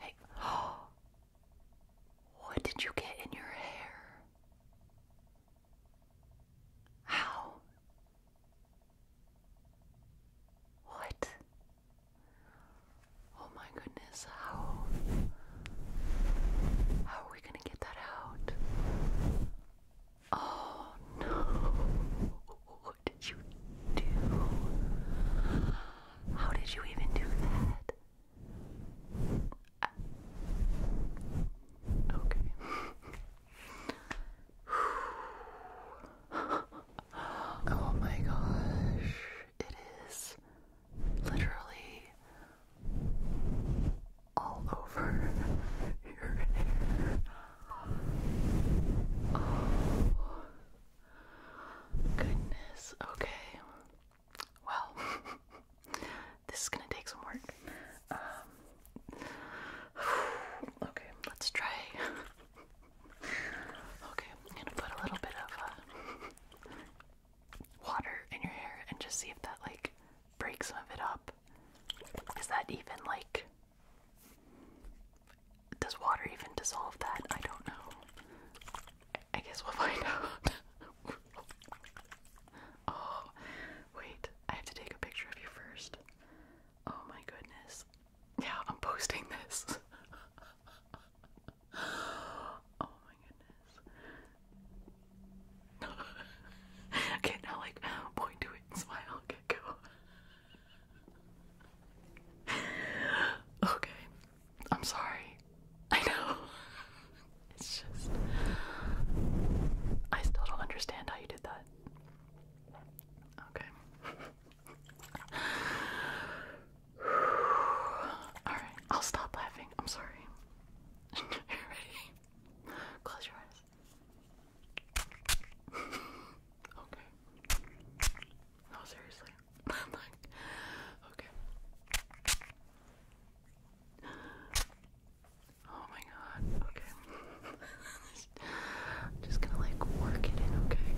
Hey, oh, what did you get in your hair? How? What? Oh my goodness, how? How are we gonna get that out? Oh no. What did you do? How did you even do that? okay. oh my gosh. It is literally all over your Goodness. Okay. Well, this is gonna take some work. Um, okay, let's try. okay, I'm gonna put a little bit of uh, water in your hair and just see if that like breaks some of it up. Is that even like does water even dissolve that? I don't know. I guess we'll find out. oh, wait. I have to take a picture of you first. Oh my goodness. Yeah, I'm posting this. oh my goodness. okay, now like point to it smile. Okay, go okay. I'm sorry. I know. It's just. I still don't understand how you did that. Okay. Alright, I'll stop laughing. I'm sorry. ready? Close your eyes. okay. No, seriously. okay. Oh my god, okay. I'm just gonna like work it okay?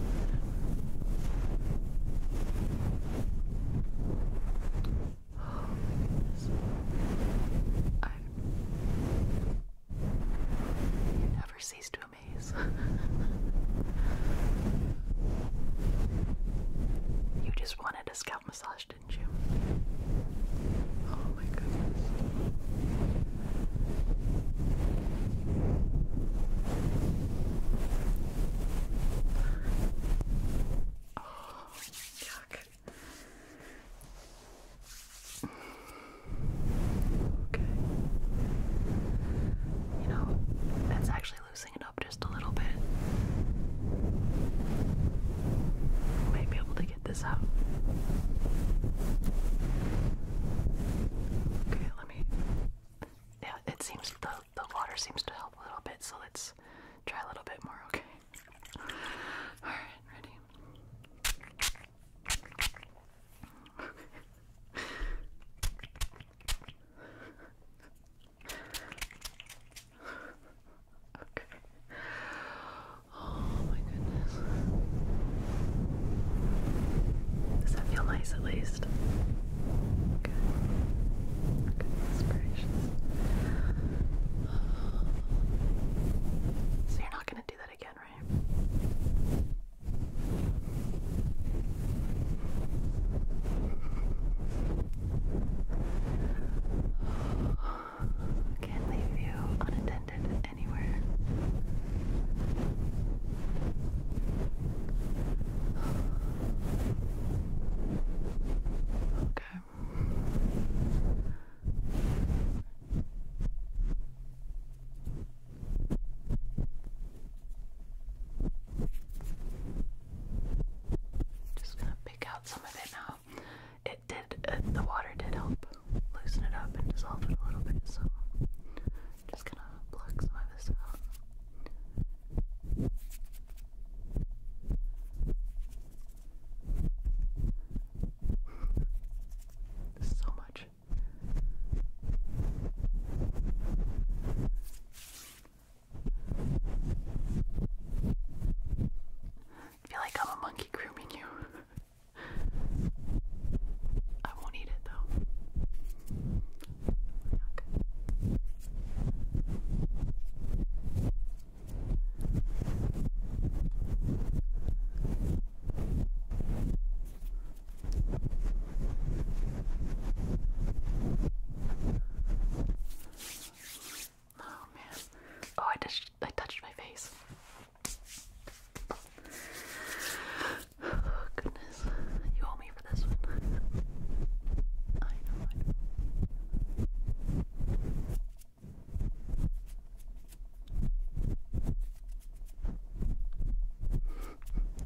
Oh I. never cease to you just wanted a scalp massage, didn't you? Oh my goodness. Oh, yuck. Okay. You know, that's actually loosening up just a little bit. might be able to get this out. Okay, let me. Yeah, it seems the the water seems to help a little bit, so let's try a little bit more. Okay. All right, ready. okay. Oh my goodness. Does that feel nice at least? So you're not gonna do that again, right? Can't leave you unattended anywhere. Okay. Just gonna pick out some of it now. It did, uh, the water did help loosen it up and dissolve it a little bit, so just gonna pluck some of this out. so much I feel like I'm a monkey grooming you. I won't eat it though. Oh man. Oh, I touched I touched my face. Oh goodness. You owe me for this one. I know.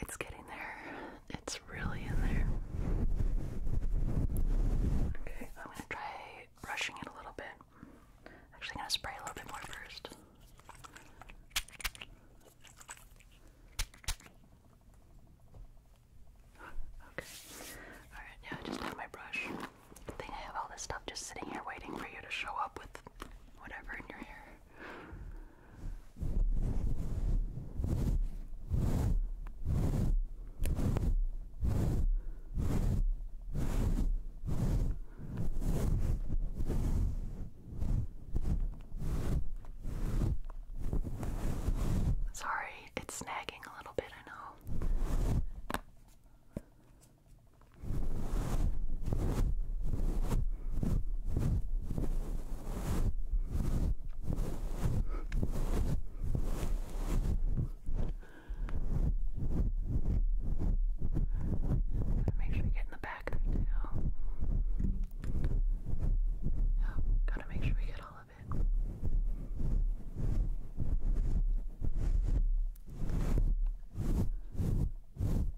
It's getting there. It's really in there. Okay, I'm gonna try brushing it a little bit. Actually, gonna spray a little bit more first. Okay. Alright, yeah, just have my brush. I think I have all this stuff just sitting here waiting for you to show up with whatever in your hair. Sorry, it's snagging a little bit, I know. Make sure you get in the back there too. Yeah, gotta make sure we get all of it. Okay.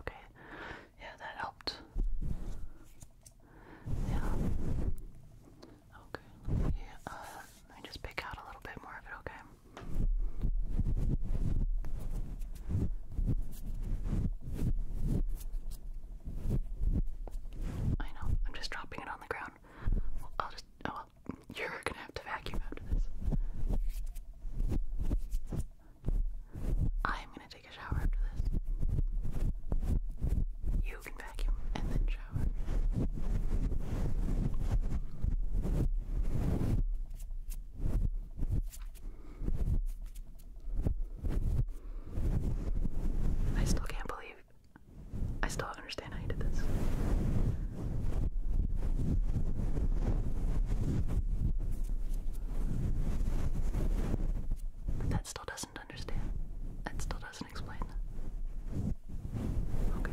Okay, yeah, that helped. Yeah. Okay, let uh, let me just pick out a little bit more of it, okay? I know, I'm just dropping it on the ground. I'll just, oh you're gonna have to vacuum after this. I'm gonna take a shower after this. You can vacuum and then shower. I still can't believe I still don't understand how you did this. But that still doesn't understand. That still doesn't explain Okay.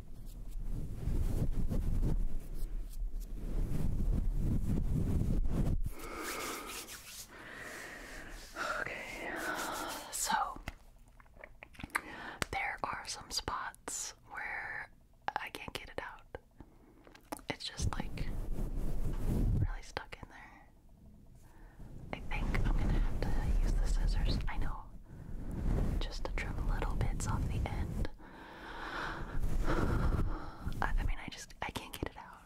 Okay, so there are some spots where I can't get it out. It's just like really stuck in there. I think I'm gonna have to use the scissors. I know just to trim little bits off the end. I, mean, I just I can't get it out.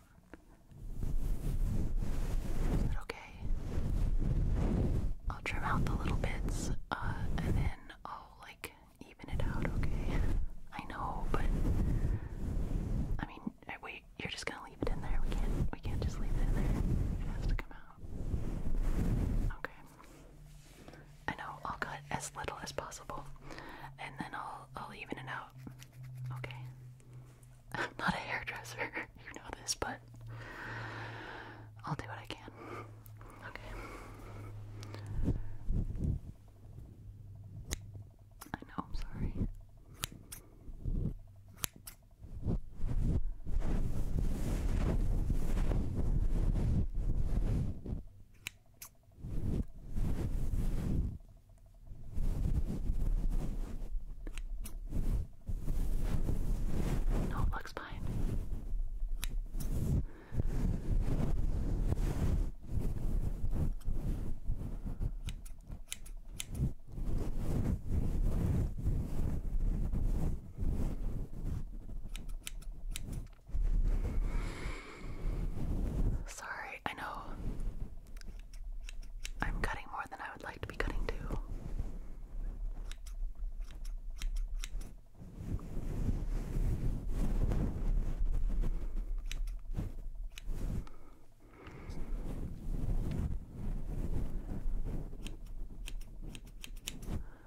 Is okay? I'll trim out the little bits, uh, and then I'll like even it out. Okay. I know, but I mean, wait. You're just gonna leave it in there. We can't. We can't just leave it in there. It has to come out. Okay. I know I'll cut as little as possible, and then I'll I'll even it out. Okay. not a hairdresser, you know this, but I'll do what I can. Okay. I know, I'm sorry. No, it looks fine. Sorry, I know I'm cutting more than I would like to be cutting too.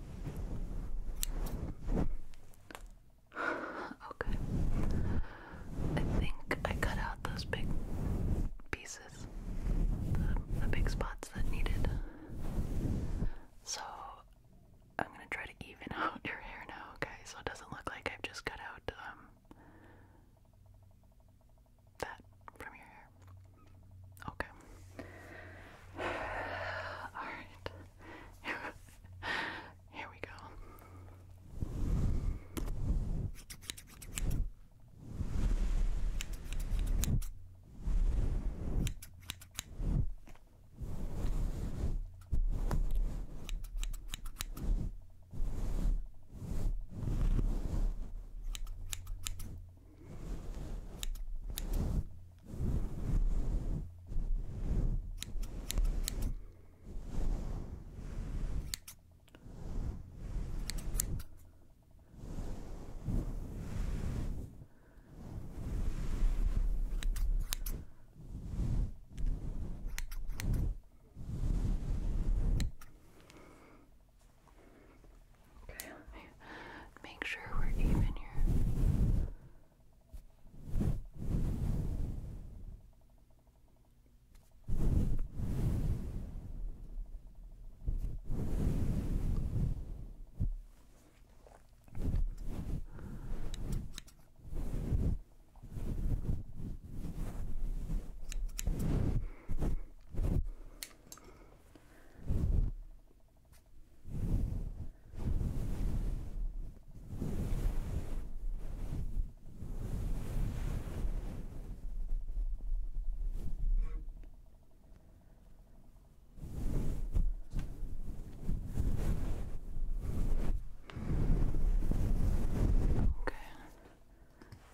okay. I think I cut out those big pieces, the, big spots that needed. So I'm gonna try to even out your hair now, okay? So it doesn't look like I've just cut out um that from your hair. Okay. Alright. Here we go. Okay, I make sure we're even here. Okay.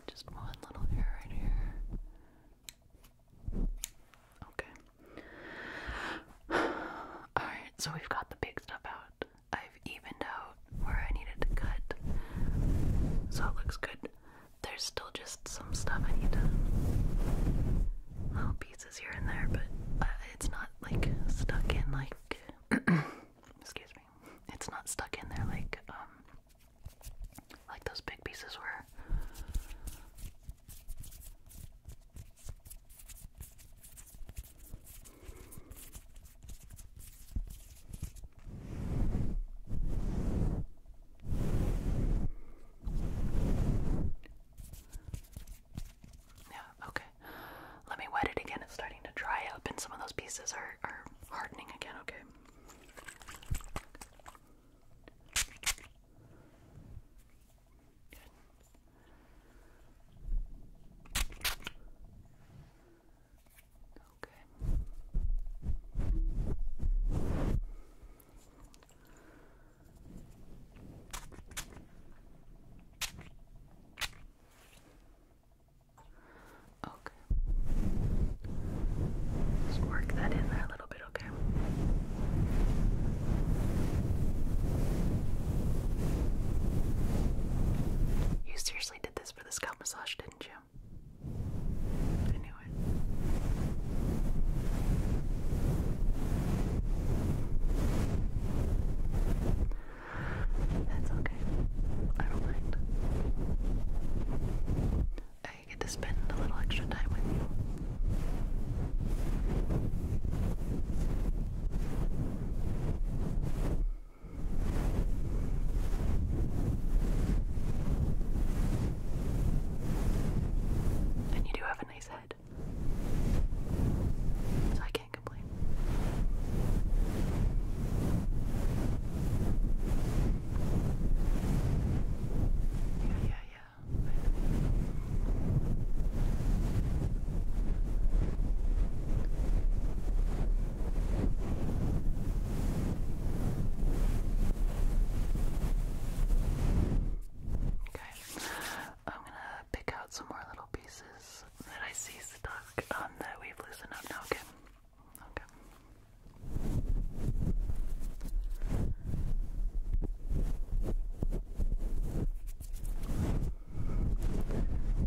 Just one little hair right here. Okay. Alright, so we've got the big stuff out. I've evened out where I needed to cut. So it looks good. There's still just some stuff I need to. little pieces here and there, but uh, it's not like stuck in like. excuse me. It's not stuck in there like, um. Like those big pieces were. Yeah, okay. Let me wet it again. It's starting to dry up, and some of those pieces are, are hardening again, okay? Good. Okay. Okay. Just work that in there a little you seriously did this for the scalp massage, didn't you? I knew it. That's okay. I don't mind. I get to spend a little extra time with you. And you do have a nice head. So I can't complain. Yeah, yeah, yeah, Okay, I'm gonna pick out some more little pieces that I see stuck on um, that we've loosened up now. Okay,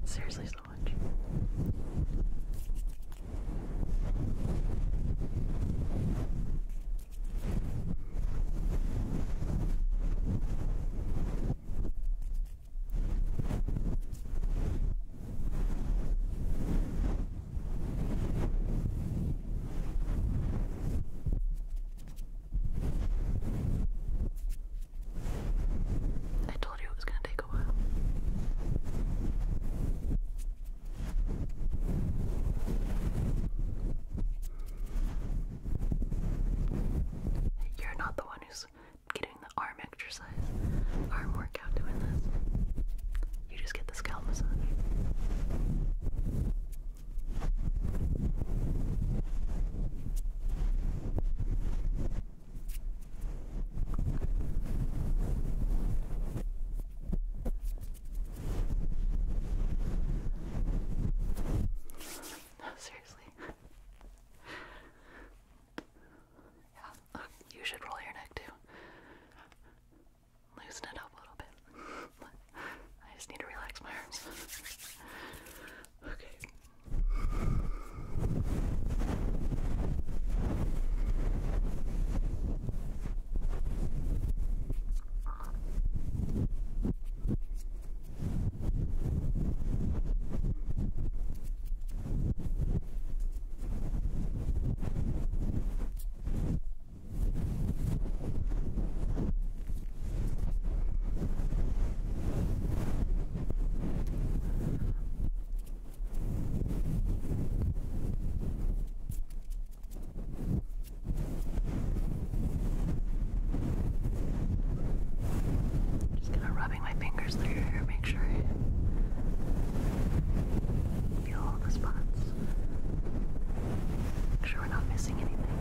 Seriously, so much. I told you it was going to take a while. You're not the one who's getting the arm exercise, arm workout doing this. You just get the scalp massage. No, seriously. yeah, you should roll your neck too. Loosen it up a little bit. I just need to relax my arms. okay. Just kind of rubbing my fingers through your hair, make sure I feel all the spots. Make sure we're not missing anything.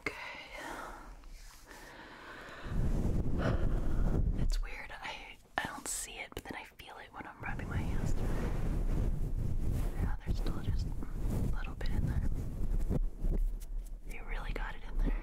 Okay. It's weird. I I don't see it, but then I feel it when I'm rubbing my hands through it. Yeah, still just a little bit in there. You really got it in there.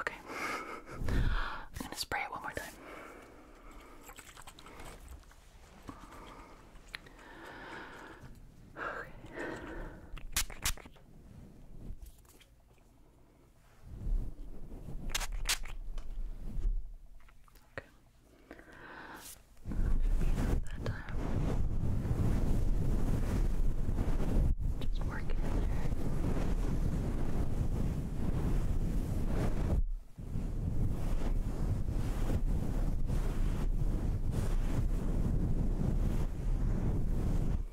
Okay. I'm going to spray it one more time. Okay. That time. Just work there.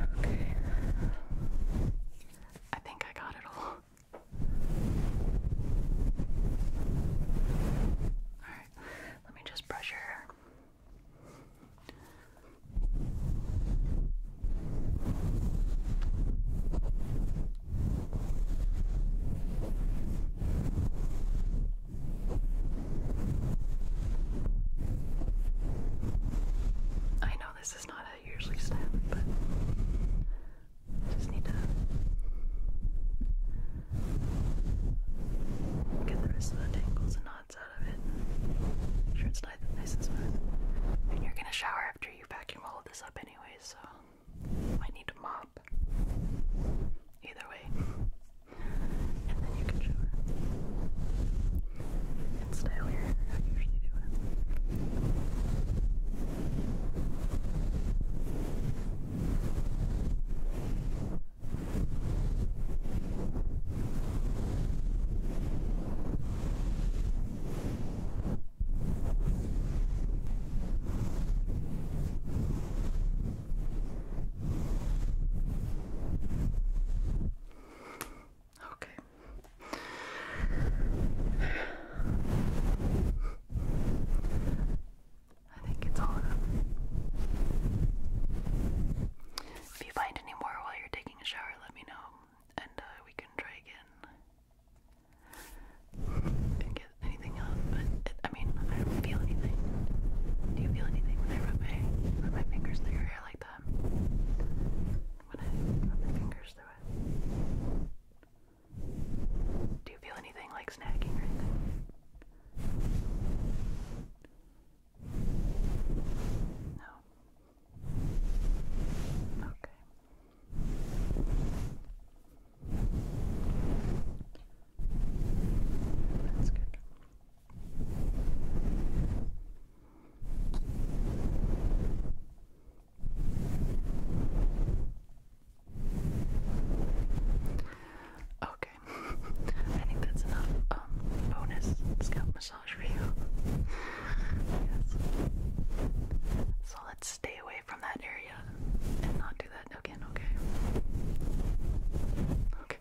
Okay. I think I got it all. Alright, let me just brush your hair. I know this is not how you usually step, but just need to get the rest of the tangles and not out of it. I'm sure, it's nice, and smooth. And you're gonna shower after you vacuum all this up anyway, so you might need to mop. Either way, and then you can shower and style your Okay. I think it's all up. If you find any more while you're taking a shower, let me know and uh, we can try again and get anything up. But I mean, I don't feel anything. Do you feel anything when I rub my my fingers through your hair like that? When I rub my fingers through it. Do you feel anything like snagging or anything? No. Okay. That's good. Okay. I think that's enough um bonus scalp massage. So let's stay away from that area and not do that again, okay? Okay.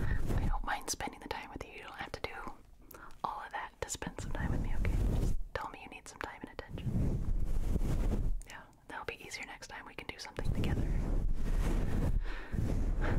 I don't mind spending the time with you. You don't have to do all of that to spend some time with me, okay? Just tell me you need some time and attention. Yeah, that'll be easier next time. We can do something together. okay.